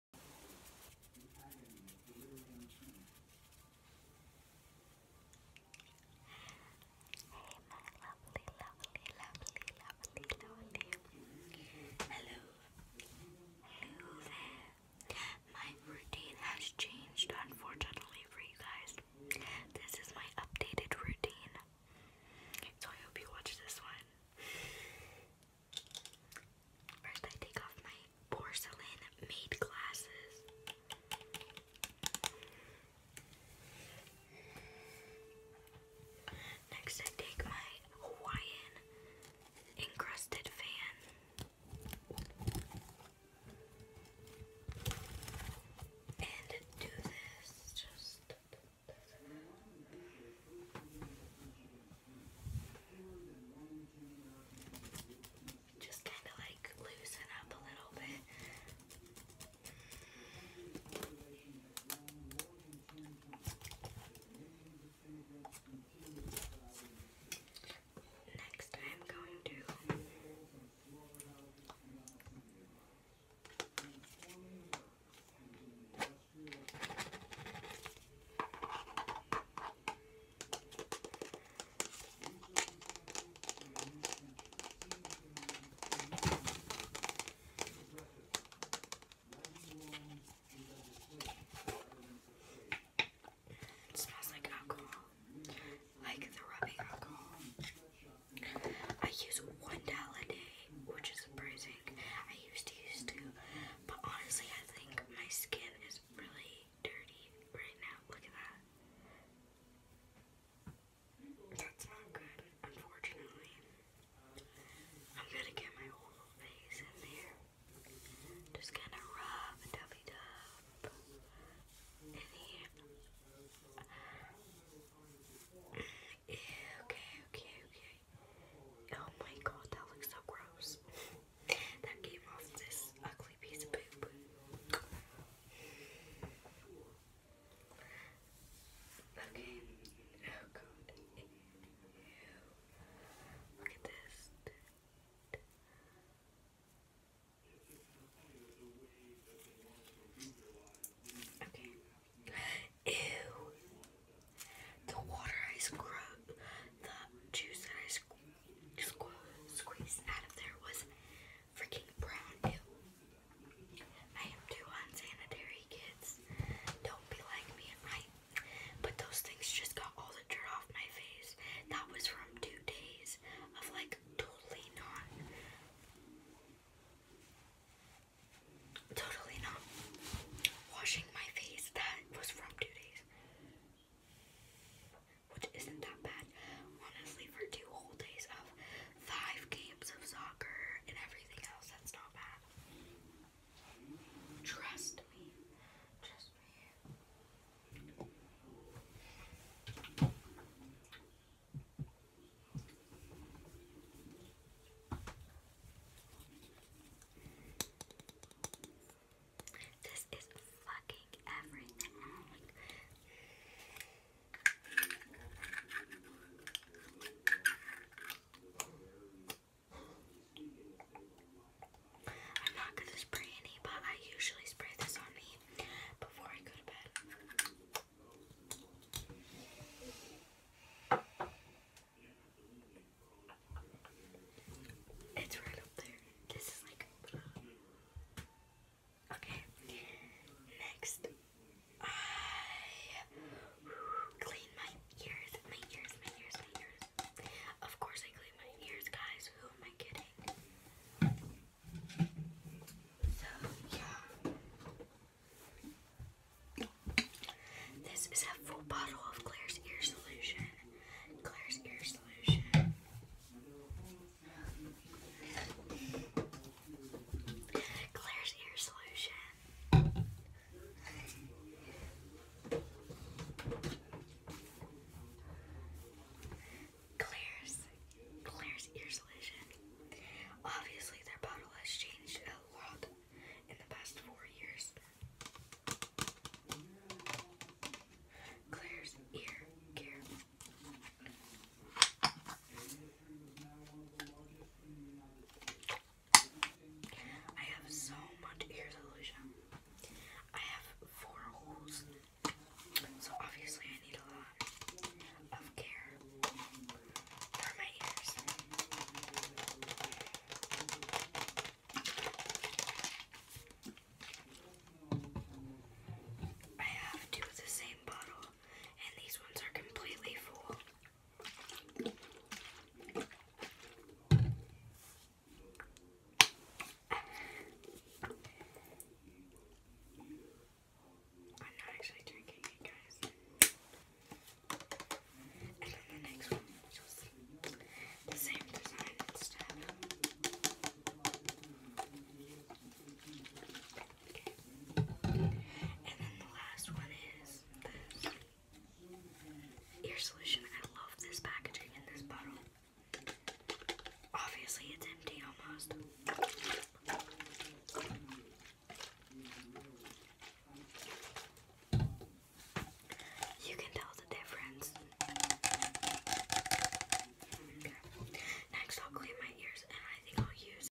lovely, Hello. Hello there. My routine has changed, unfortunately, for you guys. This is my updated routine. So I hope you watch this one. First, I take off my porcelain made glasses. Next, I take my Hawaiian encrusted fan. And do this just just kind of like loosen up a little bit. Next, I'm going to it smells like alcohol, like the rubbing alcohol. I use one towel a day, which is surprising. I used to use two, but honestly, I think my skin is really dirty right now. Look at that. That's not good, unfortunately. I'm gonna get my whole face in there. Just gonna rub dubby dub. Any Okay, okay, okay. Oh my god, that looks so gross. that came off this ugly piece of poop. Okay. Oh god. Look at this. Okay. Ew. The water I scrubbed, the juice that I squ out of there was freaking brown. Ew. I am too unsanitary, kids. Don't be like me. But those things just got all the dirt off my face. That was from two days of like Totally not. Totally not. Washing my face, that was from two days. Which isn't that bad. Honestly, for two whole days of five games of soccer and everything else, that's not bad. Trust me. This is fucking everything. I'm not gonna spray any, but I usually spray this on me before I go to bed. It's right up there. This is like. Uh, okay. Next, I clean my ears, my ears, my ears, my ears. Of course, I clean my ears, guys. Who am I kidding? So, yeah. This is a full bottle of Claire's Ear Solution. Claire's Ear Solution. Claire's Ear Solution. Claire's, Claire's ear solution. Obviously, their bottle has changed a lot in the past four years. Claire's ear care. I have so much ear solution. I have four holes, so obviously I need a lot of care for my ears. I have two of the same bottle, and these ones are completely full. I'm not actually drinking it, guys. And then the next one was same design and stuff. And then the last one is this ear solution. I love this packaging in this bottle. Obviously, it's empty almost. You can tell the difference. Next, I'll clean my ears and I think I'll use